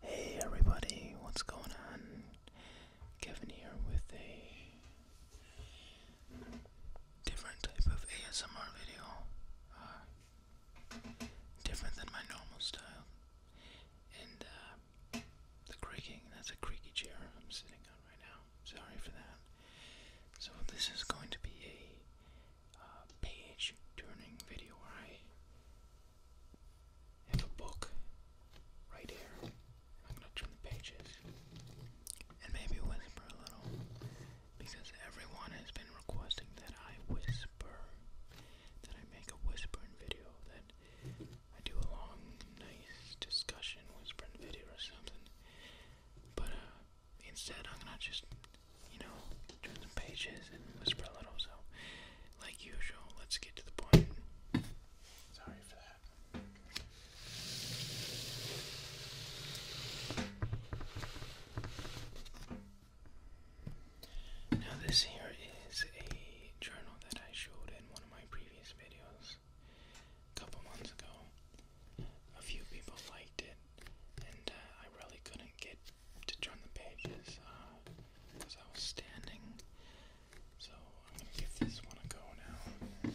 Hey everybody, what's going on? Kevin here with a different type of ASMR video. Uh, different than my normal style. And uh, the creaking, that's a creaky chair I'm sitting on right now. Sorry for that. So this is going to be a uh, page turning video where I have a book right here. I'm gonna turn the pages and maybe whisper a little because everyone has been requesting that I whisper, that I make a whispering video, that I do a long, nice discussion whispering video or something. But uh, instead I'm gonna just, you know, turn some pages and whisper a little. So, like usual, let's get to the point. Sorry for that. Now, this here is a journal that I showed in one of my previous videos a couple months ago. A few people liked it, and uh, I really couldn't get to turn the pages uh, because I was standing. So I'm going to give this one a go now.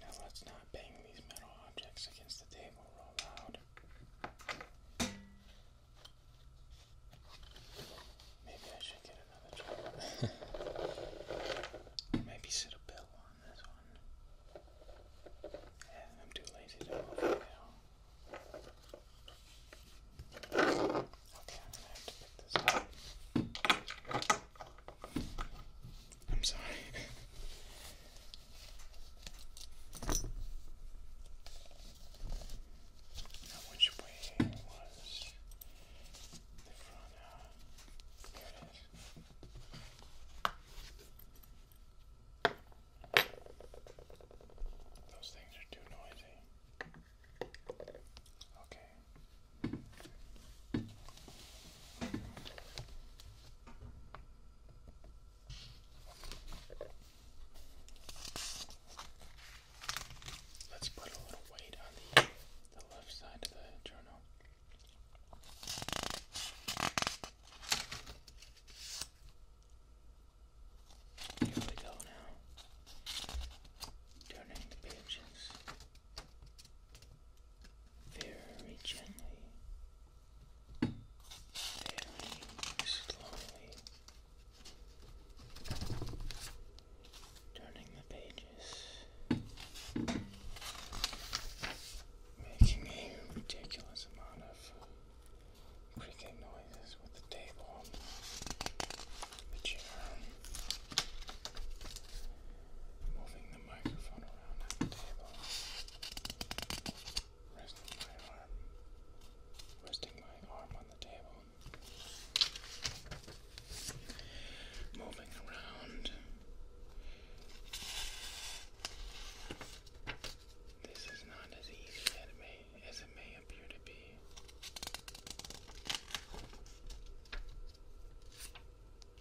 Now let's not bang these metal objects against the table real loud. Maybe I should get another job. Maybe sit a bill on this one. Yeah, I'm too lazy to move it now. Okay, I'm gonna have to pick this up. I'm sorry. which way was the front? Uh, it is. Those things are too noisy. Okay. Let's put a little weight on the, left side of the journal. Here we go now. Turning the pages very gently, very slowly, turning the pages, making a ridiculous amount of creaking noises with the table, the chair, um, moving the microphone around on the table, resting my arm, resting my arm on the table, moving around. This is not as easy as it may, as it may appear to be.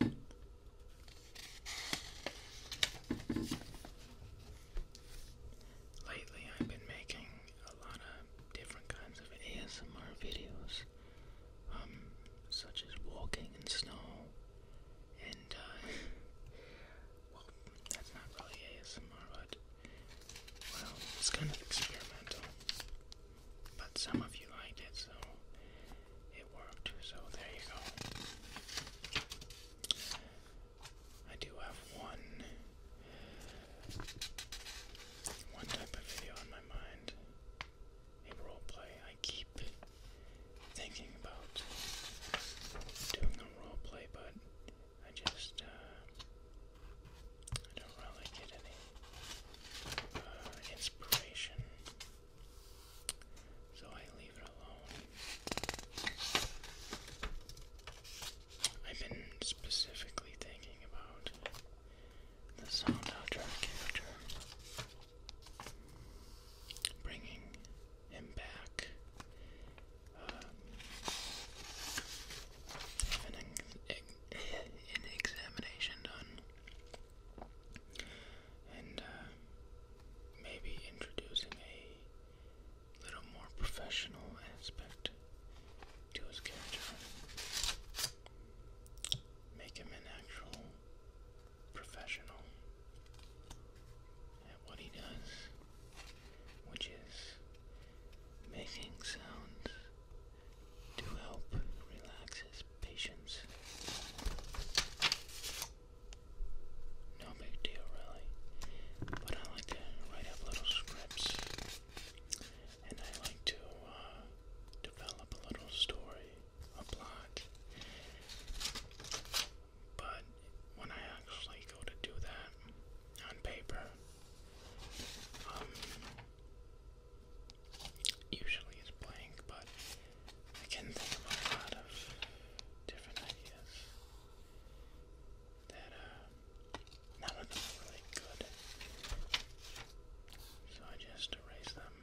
Lately, I've been making a lot of different kinds of ASMR videos, um, such as walking in snow, and, uh, well, that's not really ASMR, but, well, it's kind of experimental. But some of you liked it, so worked. So there you go. I do have one one type of video on my mind. A roleplay I keep thinking about doing a roleplay, but I just uh, I don't really get any uh, inspiration. So I leave it alone. I've been specifically thinking about the sound outro character. Bringing him back. Um, an, examination done and uh, maybe introducing a little more professional aspect to his character. Make him an actual professional at what he does, which is making sounds to help relax his patience. No big deal, really. But I like to write up little scripts, and I like to uh, develop a little story, a plot. But when I actually go to do that on paper, um, usually is blank, but I can think of a lot of different ideas that uh, none of them are really good. So I just erase them.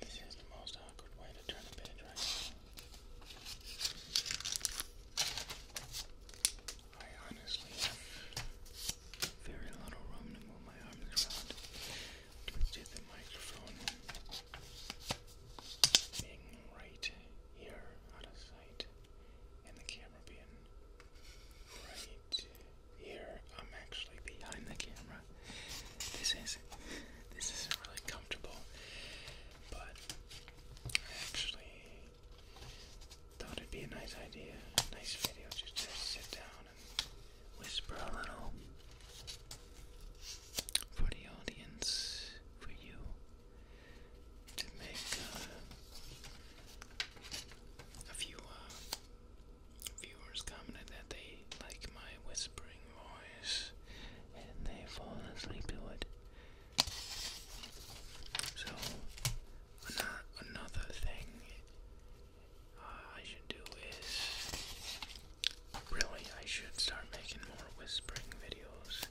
This is the most awkward way to turn a page right I honestly very little room to move my arms around to get the microphone being right here out of sight and the camera being right here I'm actually behind the camera. This is this isn't really comfortable, but I actually thought it'd be a nice idea, a nice video just to sit down and whisper a little for the audience, for you, to make uh, a few uh, Viewers commented that they like my whispering voice and they fall asleep to it. So, another thing uh, I should do is really, I should start making more whispering videos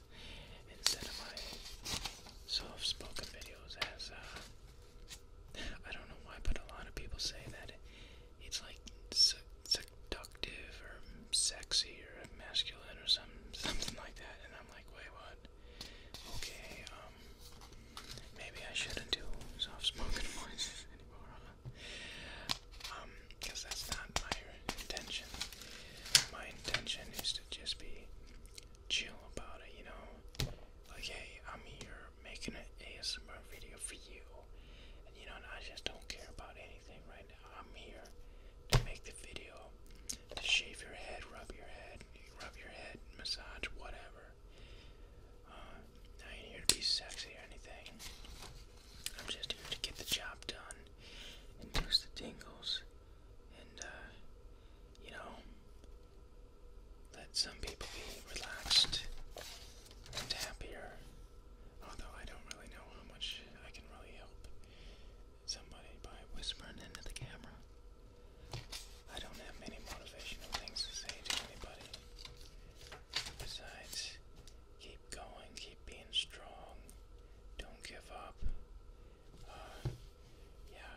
instead of my soft spoken videos as a. Uh, I don't know why, but a lot of people say that it's like seductive or sexy or masculine or some something like that, and I'm like, wait, what? Okay, um, maybe I shouldn't do soft spoken voices anymore, because um, that's not my intention. My intention is to just be chill about it, you know. Like, hey, I'm here making an ASMR video for you. And you know, I just don't care about anything right now. I'm here to make the video, to shave your head, rub your head, rub your head, massage, whatever. Uh, now you're here to be sexy or anything. I'm just here to get the job done, induce the tingles, and uh, you know, let some people be relaxed and happier. Although I don't really know how much I can really help somebody by whispering into the camera. I don't have many motivational things to say to anybody. Besides, keep going, keep being strong, don't give up. Uh, yeah,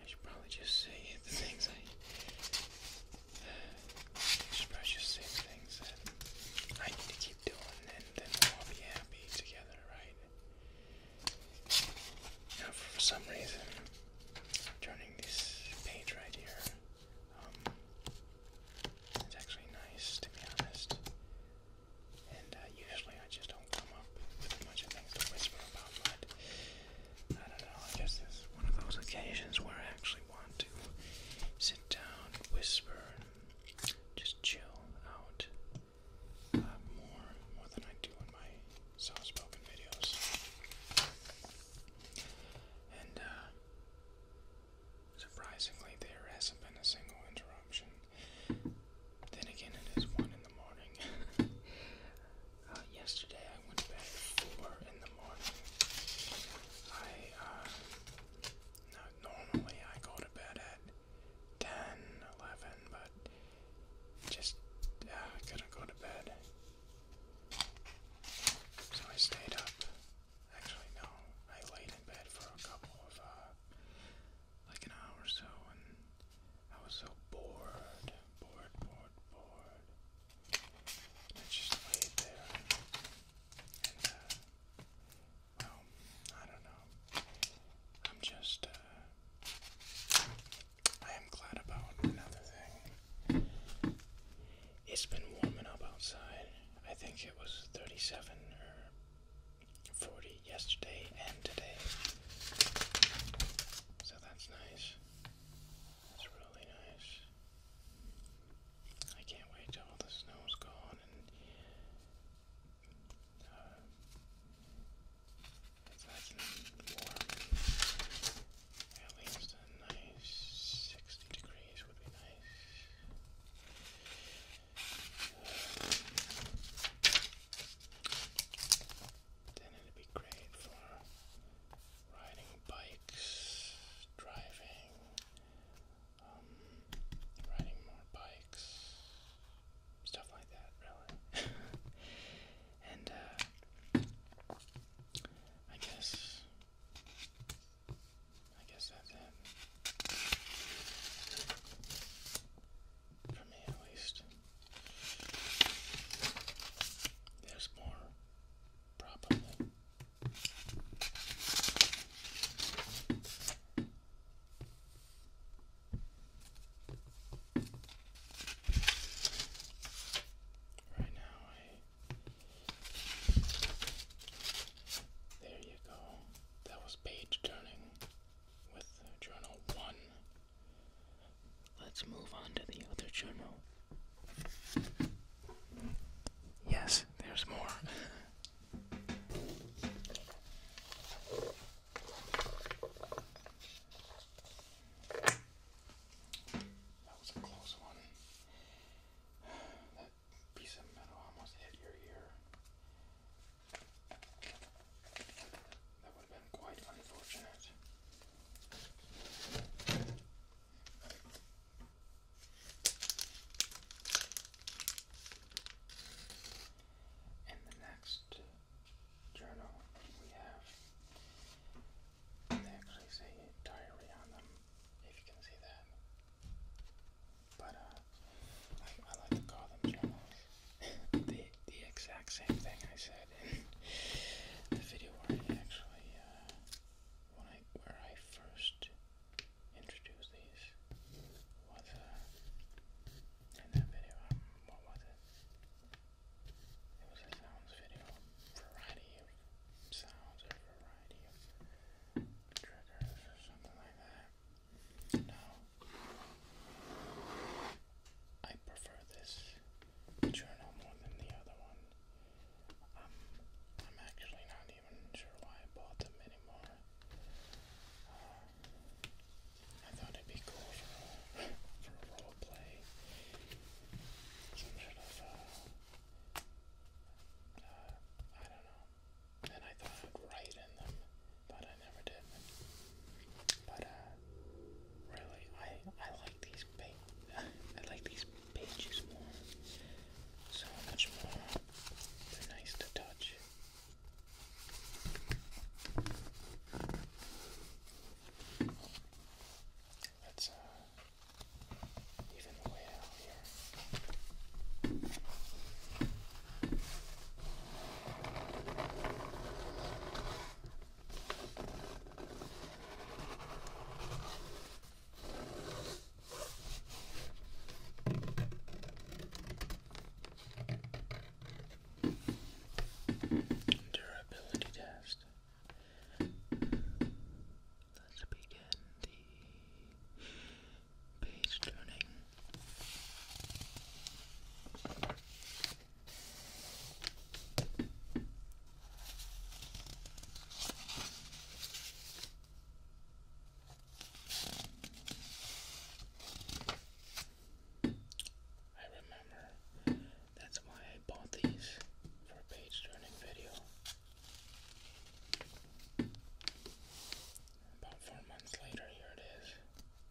I should probably just say the things I. I should probably say things that I need to keep doing, and then we'll all be happy together, right? Now, for some reason, turning this page right here, um, it's actually nice to be honest. And uh, usually I just don't come up with a bunch of things to whisper about, but I don't know, I guess it's one of those occasions where I actually want to sit down, whisper, and just chill out uh, more, more than I do in my soft-spoken videos. And, uh, surprisingly, there hasn't been a single interruption. Then again, it is 1 in the morning. Uh, yesterday I went to bed 4 in the morning. I, uh, normally I go to bed at 10, but just, couldn't uh, go to bed. So I stayed up. Actually, no, I laid in bed for a couple of, like an hour or so, I was so bored, bored, bored, bored. I just laid there and, uh, I don't know. I'm just, uh, I am glad about another thing. It's been warming up outside. I think it was 37 or 40 yesterday and today. So that's nice. That's really nice. I can't wait till the snow's gone and uh, At least a nice 60 degrees would be nice then it'd be great for riding bikes, driving, um, riding more bikes, stuff like that, really. and, uh, I guess, I guess that's it for me at least. There's more, probably. Right now, There you go. That was page turning with Journal 1 Let's move on to the other journal. Yes, there's more. that was a close one. That piece of metal almost hit your ear. That would have been quite unfortunate. In the next journal, we have they actually say diary on them, if you can see that. But uh, I like to call them journals the exact same thing I said in the video where I actually uh, where I first introduced these was uh, in that video. Um, what was it? It was a sounds video, variety of sounds or variety of triggers or something like that. Now, I prefer this journal more than the other one. Um, I'm actually not even sure why I bought them anymore. Uh, I thought it'd be cool for, for role play. Some sort of, uh, uh, I don't know. And I thought I'd write in them but I never did. But uh, really, I I like these pa pages more. So much more. They're nice to touch. Let's uh, even way out here. Durability test. Let's begin the page turning. I remember that's why I bought these for a page turning video about four months later here it is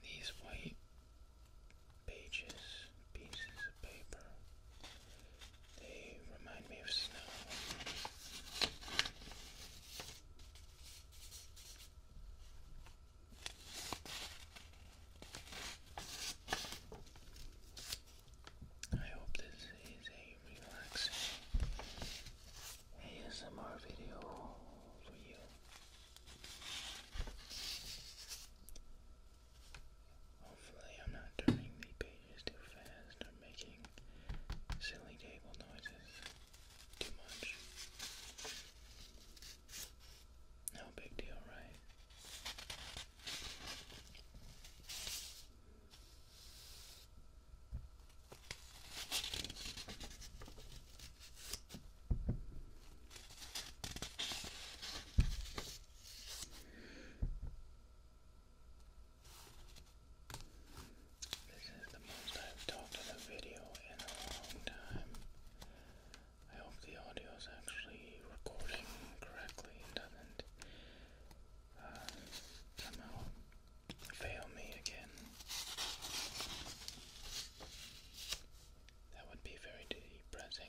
These white pages, pieces of paper, they remind me of snow. I hope this is a relaxing ASMR video for you. Hopefully, I'm not turning the pages too fast or making silly table noises too much. No big deal, right? This is the most I've talked in a video in a long time. I hope the audio is actually recording correctly doesn't uh, somehow fail me again. That would be very depressing.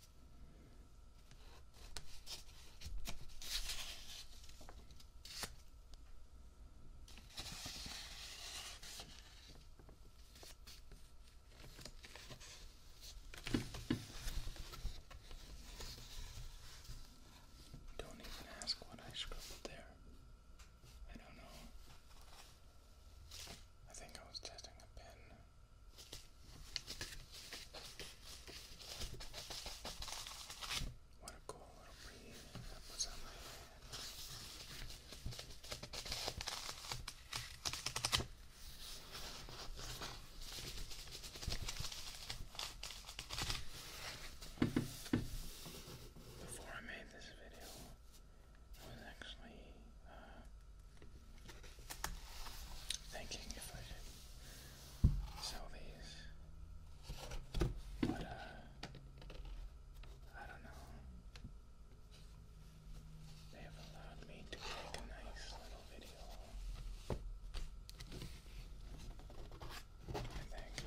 Don't even ask what I scribbled there. I don't know. I think I was testing a pen. What a cool little breeze that was on my hand. Before I made this video, I was actually thinking if I should sell these, but uh, I don't know. They have allowed me to make a nice little video. I think.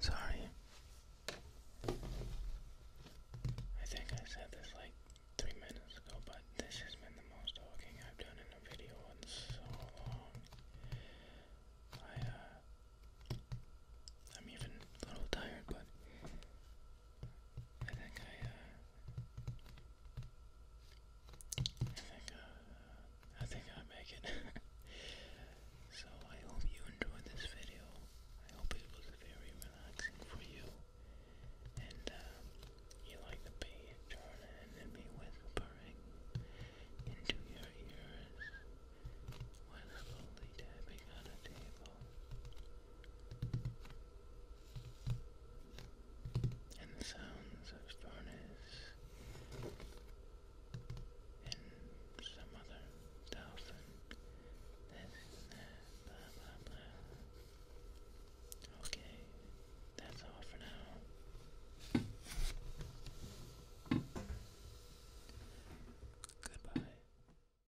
Sorry. I think I said this like three minutes ago, but this has been the most talking I've done in a video in so long. I, am uh, even a little tired, but I think I, I think, uh, I think I uh, make it. so I hope you enjoyed this video. I hope it was very relaxing for you. And, um, you like the picture and me whispering into your ears while slowly tapping on a table and the sounds of furnace and some other thousand Okay, that's all for now. Goodbye.